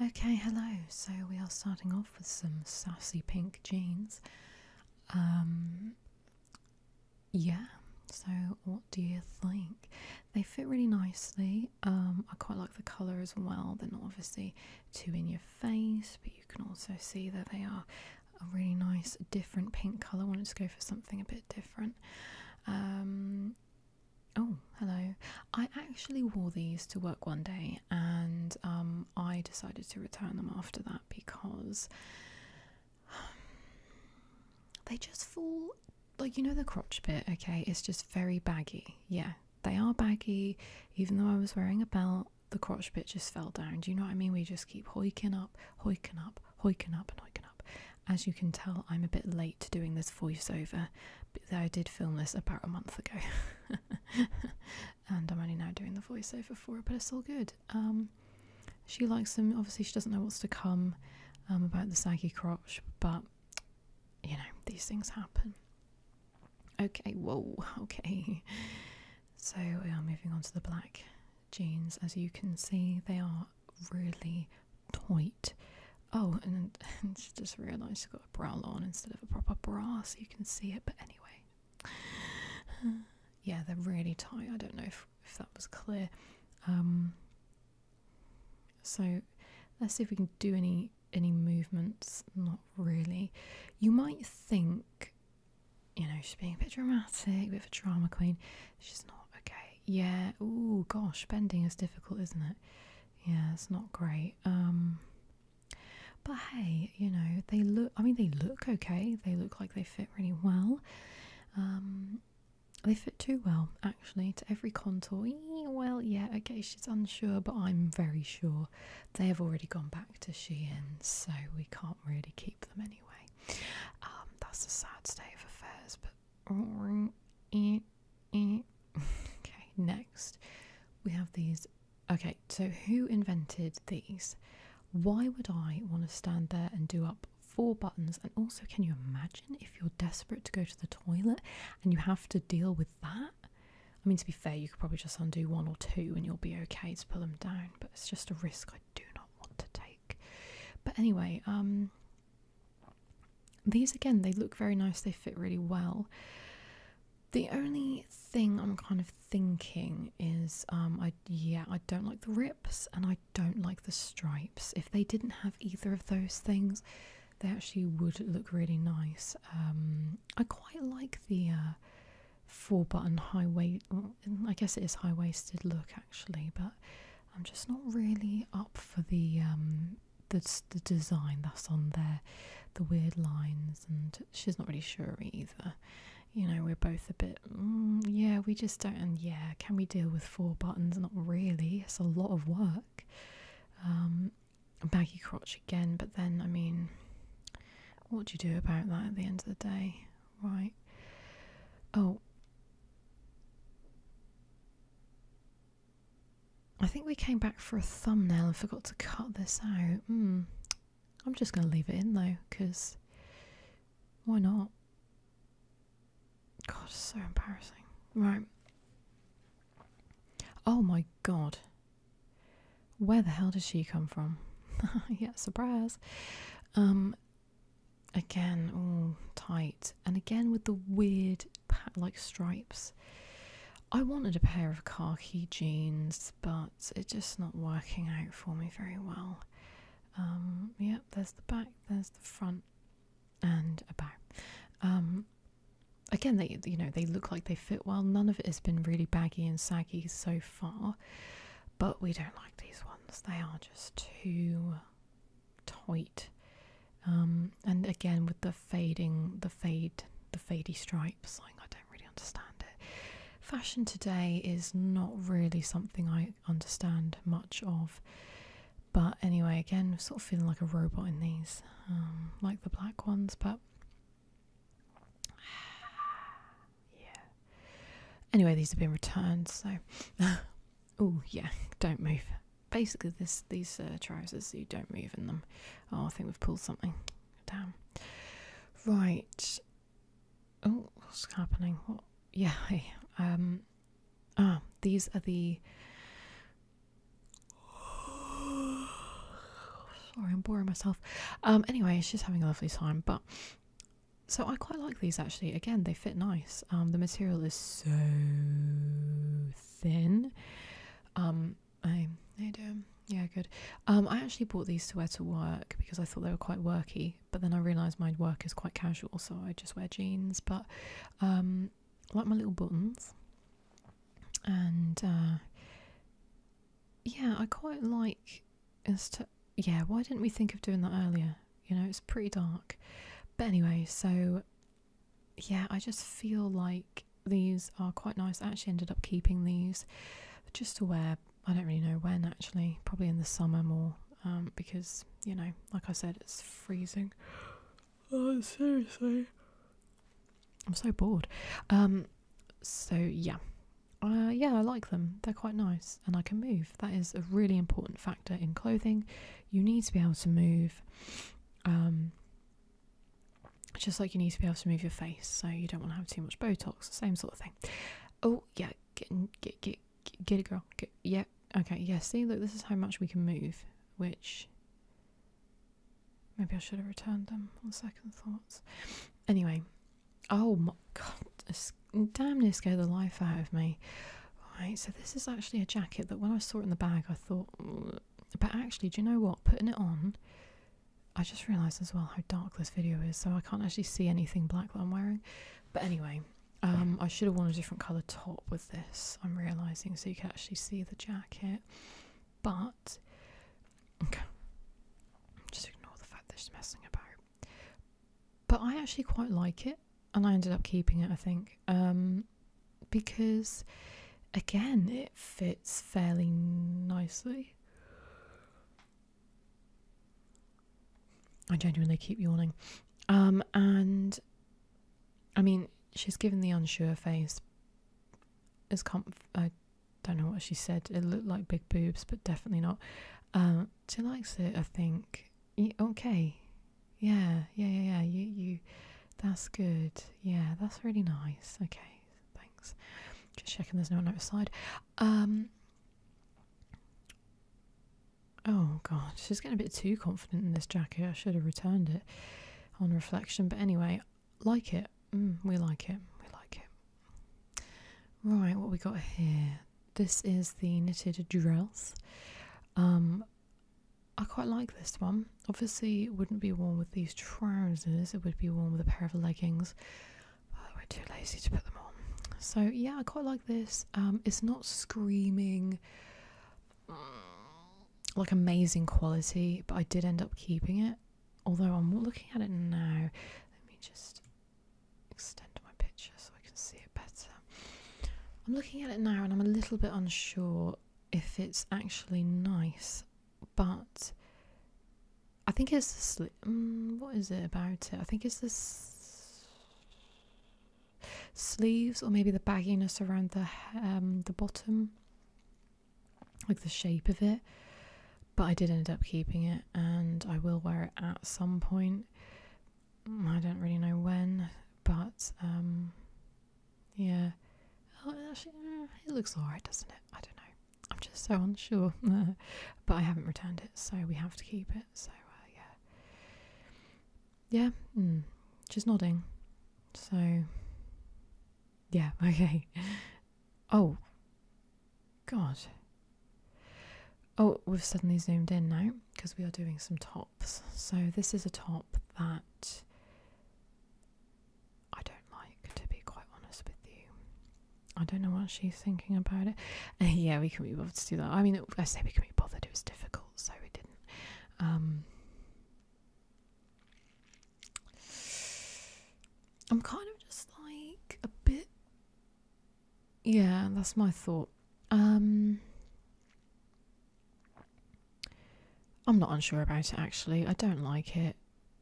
Okay, hello. So we are starting off with some sassy pink jeans. Um, yeah, so what do you think? They fit really nicely. Um, I quite like the colour as well. They're not obviously too in your face, but you can also see that they are a really nice different pink colour. wanted to go for something a bit different. Um, Oh, hello. I actually wore these to work one day and um, I decided to return them after that because they just fall like you know the crotch bit, okay? It's just very baggy. Yeah, they are baggy. Even though I was wearing a belt, the crotch bit just fell down. Do you know what I mean? We just keep hoiking up, hoiking up, hoiking up, and hoiking up. As you can tell, I'm a bit late to doing this voiceover I did film this about a month ago, and I'm only now doing the voiceover for it, but it's all good. Um, she likes them. Obviously, she doesn't know what's to come um, about the saggy crotch, but you know these things happen. Okay, whoa, okay. So we are moving on to the black jeans. As you can see, they are really, tight. Oh, and, and she just realised she's got a bra on instead of a proper bra, so you can see it. But anyway, yeah, they're really tight. I don't know if, if that was clear. Um, so let's see if we can do any any movements. Not really. You might think, you know, she's being a bit dramatic, a bit of a drama queen. She's not okay. Yeah. Oh gosh, bending is difficult, isn't it? Yeah, it's not great. Um, but hey, you know, they look, I mean, they look okay. They look like they fit really well. Um, they fit too well, actually, to every contour. Well, yeah, okay, she's unsure, but I'm very sure they have already gone back to Shein, so we can't really keep them anyway. Um, that's a sad state of affairs, but okay, next we have these. Okay, so who invented these? Why would I want to stand there and do up four buttons? And also, can you imagine if you're desperate to go to the toilet and you have to deal with that? I mean, to be fair, you could probably just undo one or two and you'll be okay to pull them down, but it's just a risk I do not want to take. But anyway, um, these again, they look very nice, they fit really well. The only thing I'm kind of thinking is, um, I yeah, I don't like the rips and I don't like the stripes. If they didn't have either of those things, they actually would look really nice. Um, I quite like the uh, four button high waist. Mm, I guess it is high waisted look actually, but I'm just not really up for the um, the, the design that's on there, the weird lines, and she's not really sure either. You know, we're both a bit, mm, yeah, we just don't, and yeah, can we deal with four buttons? Not really, it's a lot of work. Um, Maggie crotch again, but then, I mean, what do you do about that at the end of the day, right? Oh, I think we came back for a thumbnail and forgot to cut this out. Hmm. I'm just going to leave it in though, because why not? God, it's so embarrassing. Right. Oh my god. Where the hell does she come from? yeah, surprise. Um, again, all tight. And again with the weird like stripes. I wanted a pair of khaki jeans, but it's just not working out for me very well. Um, yep, there's the back, there's the front, and a bow. Um, again, they you know they look like they fit well. None of it has been really baggy and saggy so far, but we don't like these ones. They are just too tight. Um, and again with the fading, the fade, the fadey stripes, I don't really understand it. Fashion today is not really something I understand much of. But anyway, again, sort of feeling like a robot in these, um, like the black ones, but yeah. Anyway, these have been returned, so. oh, yeah, don't move basically this these uh, trousers you don't move in them oh i think we've pulled something down right oh what's happening what yeah um ah these are the sorry i'm boring myself um anyway she's having a lovely time but so i quite like these actually again they fit nice um the material is so thin um, I, I do. Yeah, good. Um, I actually bought these to wear to work because I thought they were quite worky, but then I realised my work is quite casual, so I just wear jeans. But um, like my little buttons, and uh, yeah, I quite like. As to yeah, why didn't we think of doing that earlier? You know, it's pretty dark. But anyway, so yeah, I just feel like these are quite nice. I actually ended up keeping these just to wear. I don't really know when actually, probably in the summer more um, because, you know, like I said, it's freezing. Oh, seriously. I'm so bored. Um, so, yeah. Uh, yeah, I like them. They're quite nice and I can move. That is a really important factor in clothing. You need to be able to move. Um, just like you need to be able to move your face, so you don't want to have too much Botox, same sort of thing. Oh yeah, get get get get a girl. Get, yeah, okay, Yes. See, look, this is how much we can move. Which maybe I should have returned them on second thoughts. Anyway, oh my god, this, damn near scared the life out of me. Right, so this is actually a jacket that when I saw it in the bag, I thought, but actually, do you know what? Putting it on, I just realised as well how dark this video is, so I can't actually see anything black that I'm wearing. But anyway, um, I should have worn a different colour top with this, I'm realising, so you can actually see the jacket. But, okay, just ignore the fact that it's messing about. But I actually quite like it, and I ended up keeping it, I think um, because again it fits fairly nicely. I genuinely keep yawning. Um, and I mean, she's given the unsure face. As comp, I don't know what she said. It looked like big boobs, but definitely not. Um, she likes it, I think. okay, yeah, yeah, yeah, yeah. You, you, that's good. Yeah, that's really nice. Okay, thanks. Just checking there's no one outside. Um. Oh god, she's getting a bit too confident in this jacket. I should have returned it on reflection. But anyway, like it. Mm, we like it. We like it. Right, what we got here. This is the knitted dress. Um, I quite like this one. Obviously, it wouldn't be worn with these trousers, it would be worn with a pair of leggings, but oh, we're too lazy to put them on. So, yeah, I quite like this. Um, it's not screaming mm, like amazing quality, but I did end up keeping it. Although I'm looking at it now, let me just extend my picture so I can see it better. I'm looking at it now and I'm a little bit unsure if it's actually nice, but I think it's the sli- mm, what is it about it? I think it's the sleeves or maybe the bagginess around the um, the bottom, like the shape of it. But I did end up keeping it, and I will wear it at some point. Mm, I don't really know when, but um, yeah. Oh, mm, it looks alright, doesn't it? I don't know. I'm just so unsure. but I haven't returned it, so we have to keep it. So, uh, yeah. Yeah. Mm. She's nodding. So, yeah, okay. Oh, God. Oh, we've suddenly zoomed in now because we are doing some talk. So this is a top that I don't like, to be quite honest with you. I don't know what she's thinking about it. yeah, we can be bothered to do that. I mean, it, I say we can be bothered. It was difficult, so we didn't. Um, I'm kind of just like a bit. Yeah, that's my thought. Um, I'm not unsure about it actually. I don't like it.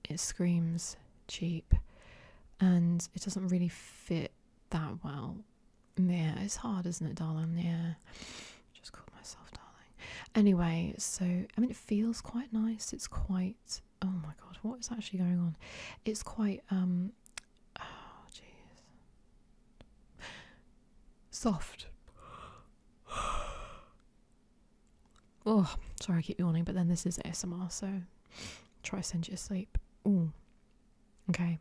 It screams cheap and it doesn't really fit that well. Yeah, it's hard, isn't it, darling? Yeah. Just called myself darling. Anyway, so I mean it feels quite nice. It's quite oh my god, what is actually going on? It's quite um oh jeez. Soft. oh, sorry, I keep yawning, but then this is ASMR, so try to send you to sleep. Okay.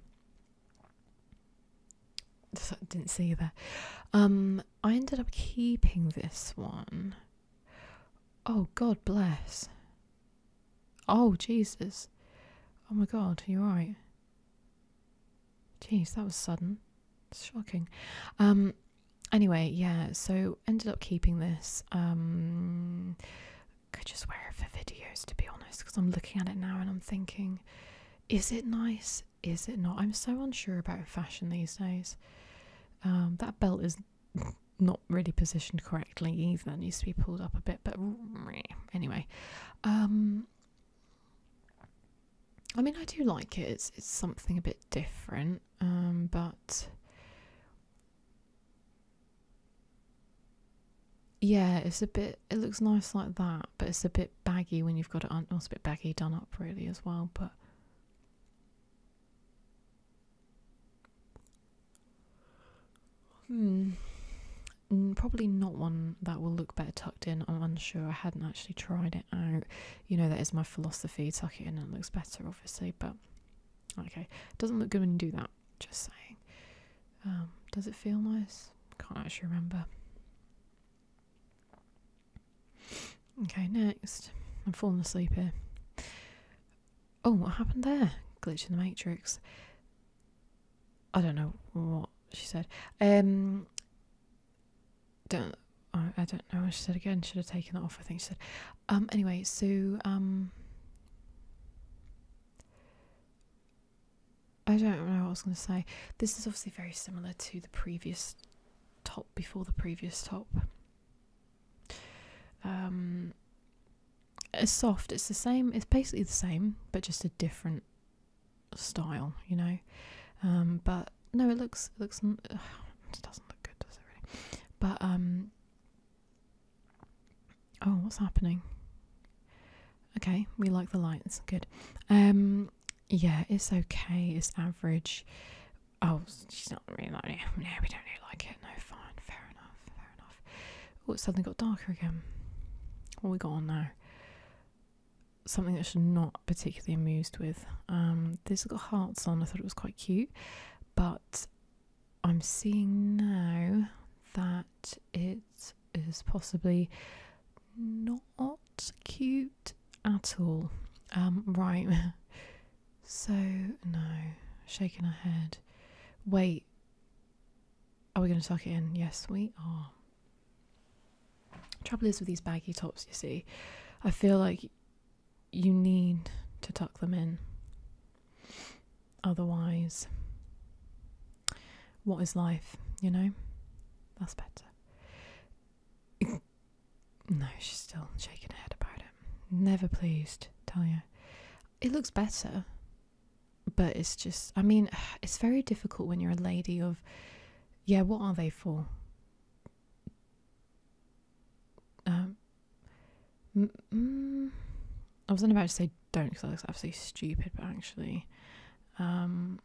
I didn't see you there. Um, I ended up keeping this one. Oh, God bless. Oh, Jesus. Oh my God, you're right. Jeez, that was sudden. shocking. Um, anyway, yeah, so ended up keeping this. I um, could just wear it for videos, to be honest, because I'm looking at it now and I'm thinking, is it nice? Is it not? I'm so unsure about fashion these days. Um, that belt is not really positioned correctly either. It needs to be pulled up a bit, but anyway. I mean, I do like it. It's it's something a bit different, um, but yeah, it's a bit. It looks nice like that, but it's a bit baggy when you've got it. Un- it's a bit baggy done up really as well, but. Hmm. Mm, probably not one that will look better in. I'm unsure. I hadn't actually tried it out. You know, that is my philosophy. Tuck it in and it looks better, obviously, but okay. It doesn't look good when you do that, just saying. Um, does it feel nice? Can't actually remember. Okay, next. I'm falling asleep here. Oh, what happened there? Glitch in the Matrix. I don't know what she said. Um, don't I, don't know what she said again. Should have taken it off. I think she said. Um. Anyway, so um. I don't know what I was going to say. This is obviously very similar to the previous top before the previous top. Um, it's soft. It's the same. It's basically the same, but just a different style, you know. Um, but no, it looks it looks it doesn't look good, does it really? But um, oh, what's happening? Okay, we like the lights, good. Um, yeah, it's okay, it's average. Oh, she's not really like it. No, we don't really like it. No, fine, fair enough, fair enough. Oh, it suddenly got darker again. What we got on now? something that I'm not particularly amused with. Um, this has got hearts on. I thought it was quite cute, but I'm seeing now that it is possibly not cute at all. Um, right. so no, shaking our head. Wait, are we going to tuck it in? Yes, we are. Trouble is with these baggy tops, you see, I feel like you need to tuck them in. Otherwise, what is life, you know? That's better. no, she's still shaking her head about it. Never pleased, tell you. It looks better, but it's just, I mean, it's very difficult when you're a lady of yeah, what are they for? Um, mm, I wasn't about to say don't because I look absolutely stupid, but actually, um,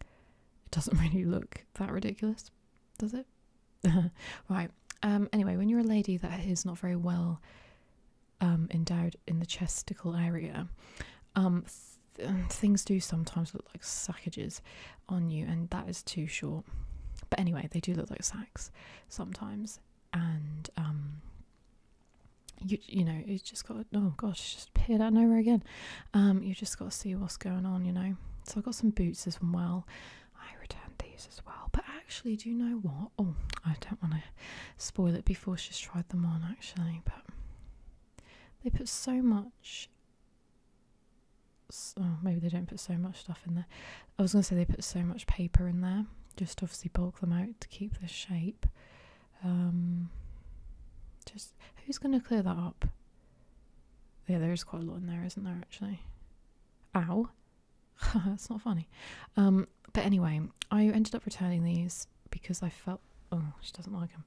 it doesn't really look that ridiculous, does it? right. Um, anyway, when you're a lady that is not very well um, endowed in the chesticle area, um, um, things do sometimes look like sackages on you, and that is too short. But anyway, they do look like sacks sometimes, and um, you you know you just got oh gosh, just peer that over again. Um, you just got to see what's going on, you know. So I got some boots as well. I returned these as well, but actually, do you know what? Oh, I don't want to spoil it before she's tried them on actually, but they put so much. Oh, maybe they don't put so much stuff in there. I was going to say they put so much paper in there, just obviously bulk them out to keep the shape. Um, just who's going to clear that up? Yeah, there is quite a lot in there, isn't there? Actually, ow, that's not funny. Um, but anyway, I ended up returning these because I felt oh she doesn't like them.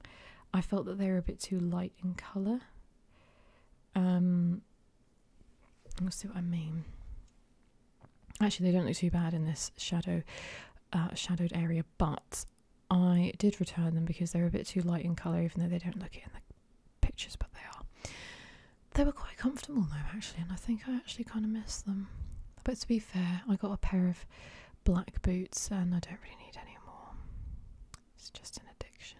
I felt that they were a bit too light in colour. Um, you'll see what I mean. Actually, they don't look too bad in this shadow uh, shadowed area, but I did return them because they're a bit too light in colour, even though they don't look it in the pictures, but they are. They were quite comfortable though, actually, and I think I actually kind of miss them. But to be fair, I got a pair of black boots, and I don't really need any more. It's just an addiction.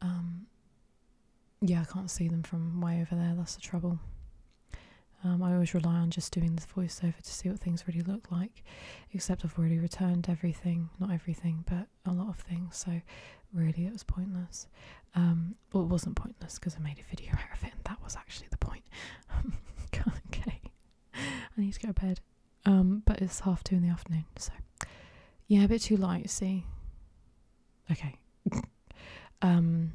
Um, yeah, I can't see them from way over there. That's the trouble. Um, I always rely on just doing the voiceover to see what things really look like, except I've already returned everything, not everything, but a lot of things, so really it was pointless. Um, well, it wasn't pointless because I made a video out of it, and that was actually the point. okay. I need to go to bed. Um, but it's half two in the afternoon, so yeah, a bit too light. See, okay. um,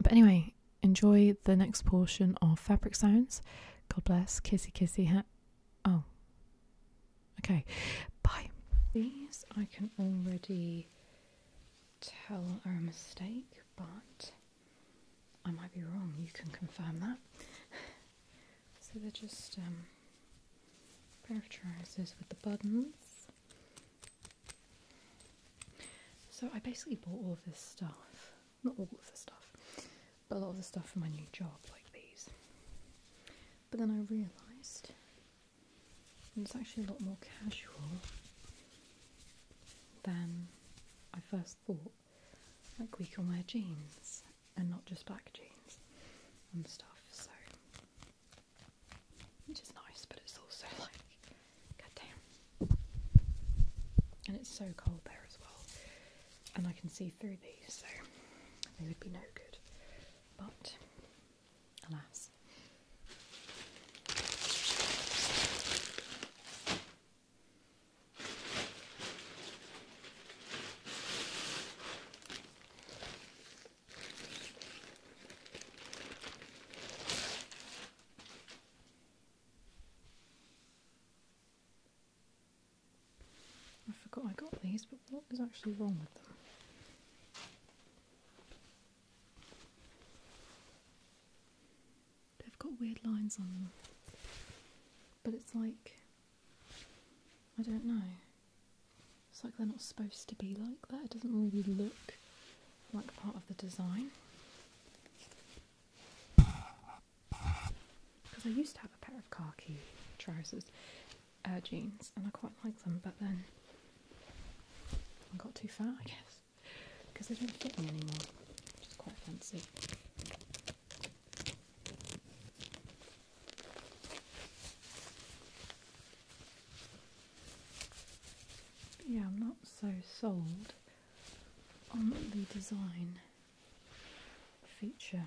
but anyway, enjoy the next portion of Fabric Sounds. God bless. Kissy kissy hat. Oh, okay. Bye. These I can already tell are a mistake, but. I might be wrong, you can confirm that. so they're just um, trousers with the buttons. So I basically bought all of this stuff, not all of the stuff, but a lot of the stuff for my new job, like these. But then I realised it's actually a lot more casual than I first thought. Like, we can wear jeans and not just black jeans and stuff, so which is nice, but it's also like, goddamn. And it's so cold there as well, and I can see through these, so they would be no good. But alas. I forgot I got these, but what is actually wrong with them? They've got weird lines on them. But it's like, I don't know. It's like they're not supposed to be like that. It doesn't really look like part of the design. Because I used to have a pair of khaki trousers, uh, jeans, and I quite liked them, but then I got too fat, I guess because they don't fit me anymore, which is quite fancy. yeah, I'm not so sold on the design feature.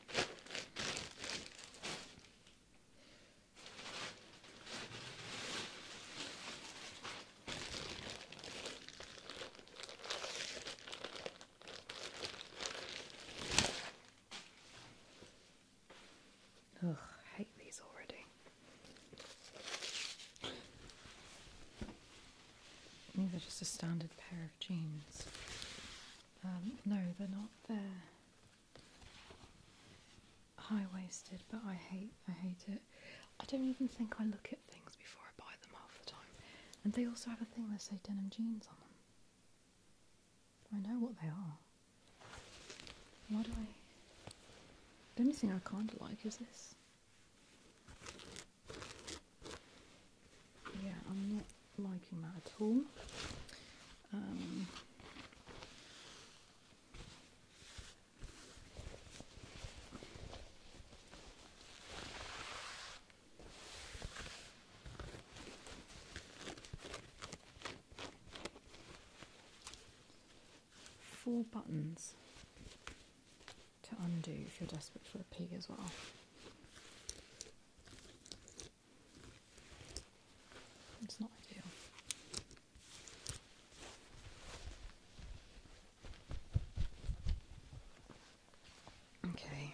Ugh, hate these already. These are just a standard pair of jeans. Um, no, they're not. They're high waisted, but I hate I hate it. I don't even think I look at things before I buy them half the time. And they also have a thing that say denim jeans on them. I know what they are. Why do I? The only thing I kind of like is this yeah, I'm not liking that at all. Um, four buttons to undo if you're desperate for a peek as well. It's not ideal. Okay.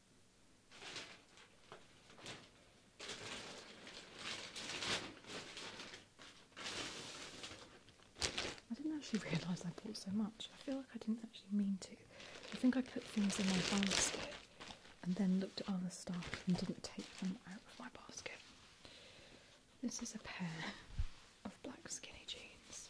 I didn't actually realise I bought so much. I feel like I didn't actually mean to. I think I put things in my basket and then looked at other stuff and didn't take them out of my basket. This is a pair of black skinny jeans.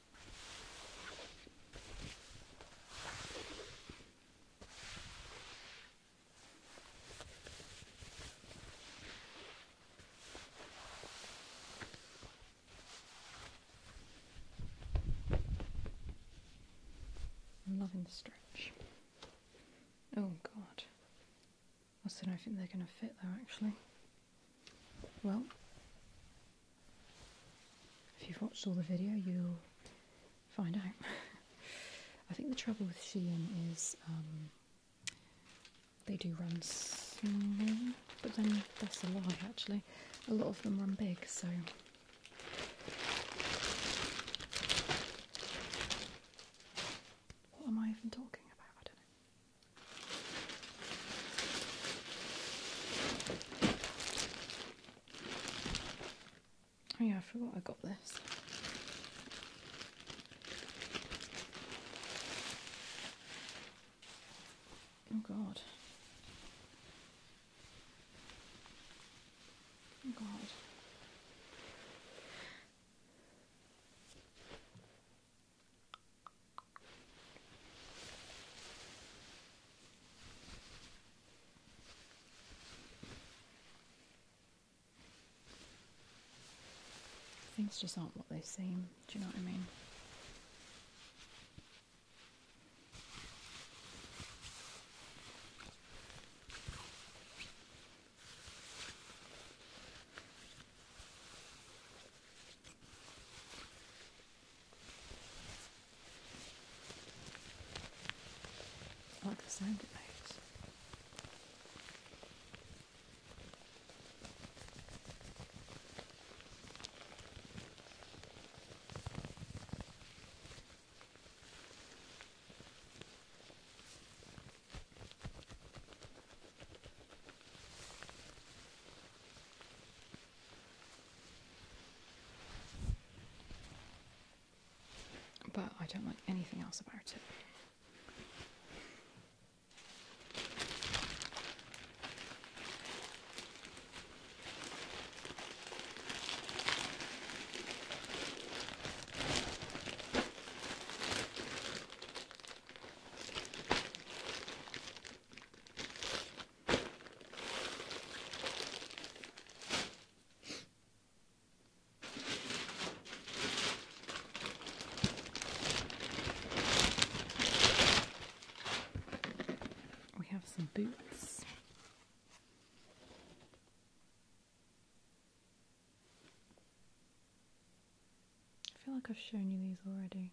I'm loving the stretch. Oh god. I the I think they're gonna fit though actually. Well, if you've watched all the video, you'll find out. I think the trouble with Shein is um, they do run small, but then that's a lie actually. A lot of them run big, so. What am I even talking about? I don't know. Oh yeah, I forgot I got this. Oh god. Oh god. Things just aren't what they seem, do you know what I mean? I like the sound it makes. But I don't like anything else about it. We have some boots. I feel like I've shown you these already.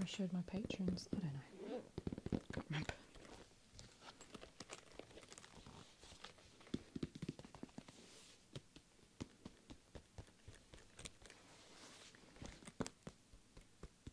I showed my patrons. I don't know.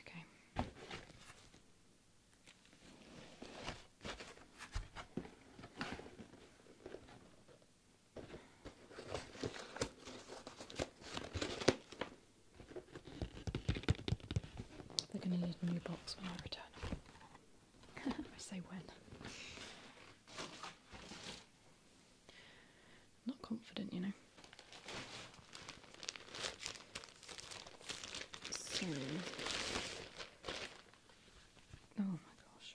Okay. are going to need a new box when I return. I say when. Not confident, you know oh my gosh.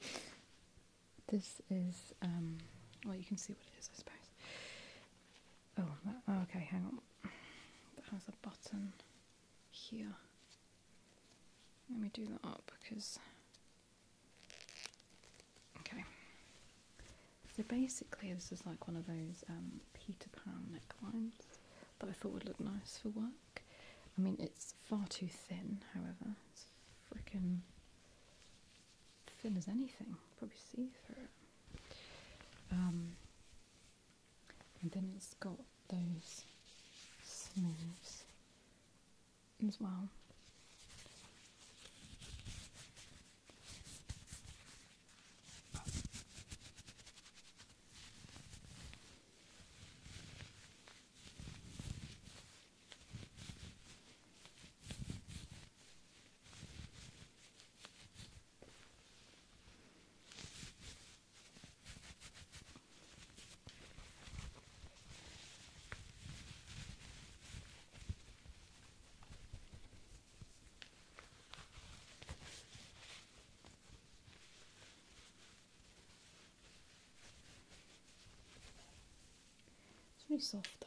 this is, um, well, you can see what it is, I suppose. Oh, oh, okay, hang on. That has a button here. Let me do that up because Okay. So basically, this is like one of those um, Peter Pan necklines that I thought would look nice for work. I mean, it's far too thin, however. It's freaking thin as anything. Probably see through um, and then it's got those sleeves as well. It's really soft though.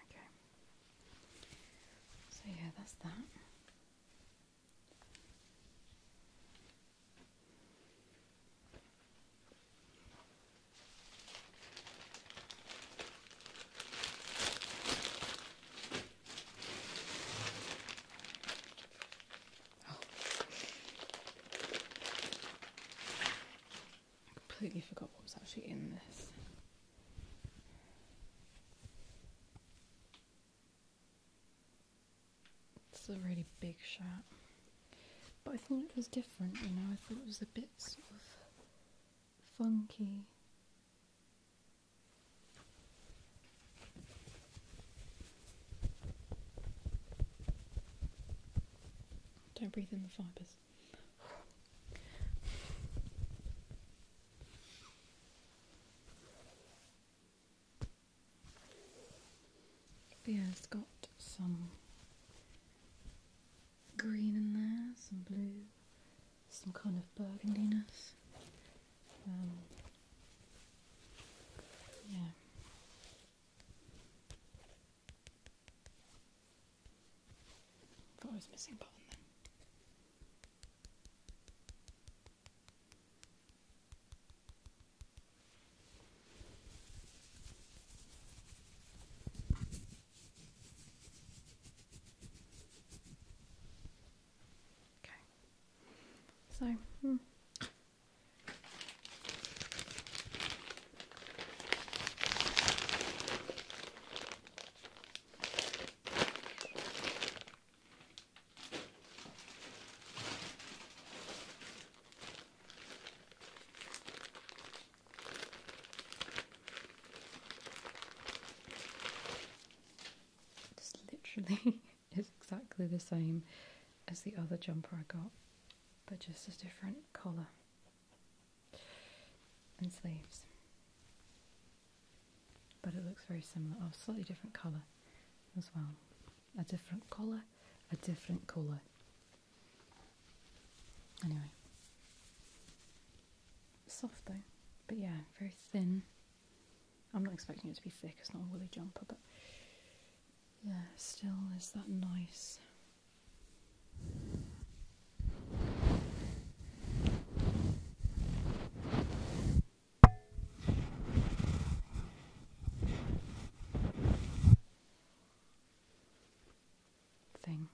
Okay. So yeah, that's that. I oh. completely forgot what was actually in this. It's a really big shot. But I thought it was different, you know, I thought it was a bit sort of funky. Don't breathe in the fibres yeah, it's got some green in there, some blue, some kind of burgundiness. Um, yeah. I was missing a Okay. So. Hmm. This literally is exactly the same as the other jumper I got, but just a different colour and sleeves. But it looks very similar, oh, slightly different colour as well. A different colour, a different colour. Anyway, soft though, but yeah, very thin. I'm not expecting it to be thick, it's not a woolly jumper, but yeah, still is that nice thing.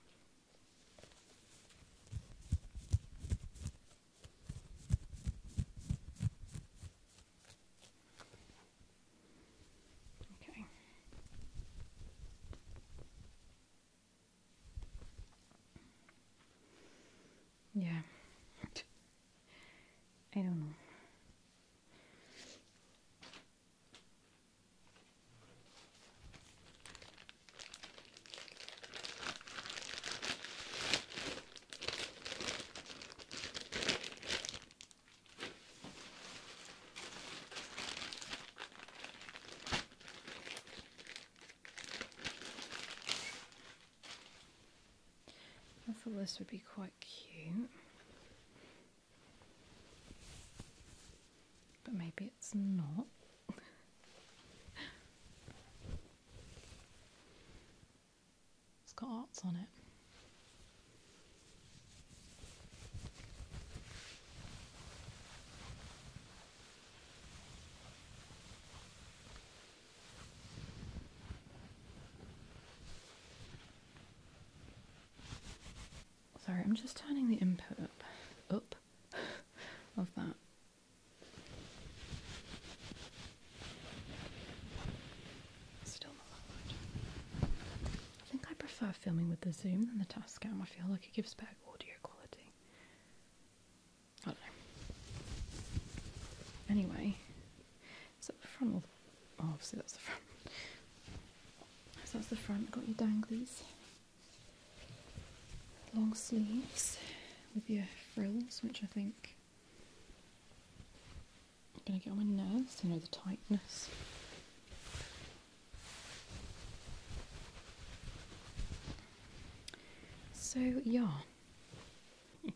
Okay. Yeah. I don't know. I thought this would be quite cute. But maybe it's not. it's got arts on it. Sorry, I'm just turning the input up, up of that. Still not that much. I think I prefer filming with the zoom than the Tascam. I feel like it gives better audio quality. I don't know. Anyway, it's the front all oh, obviously that's the front. So that's the front. Got your danglies, long sleeves with your frills, which I think I'm gonna get on my nerves. You know the tightness. So yeah,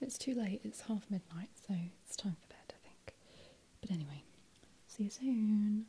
it's too late. It's half midnight, so it's time for bed. I think. But anyway, see you soon.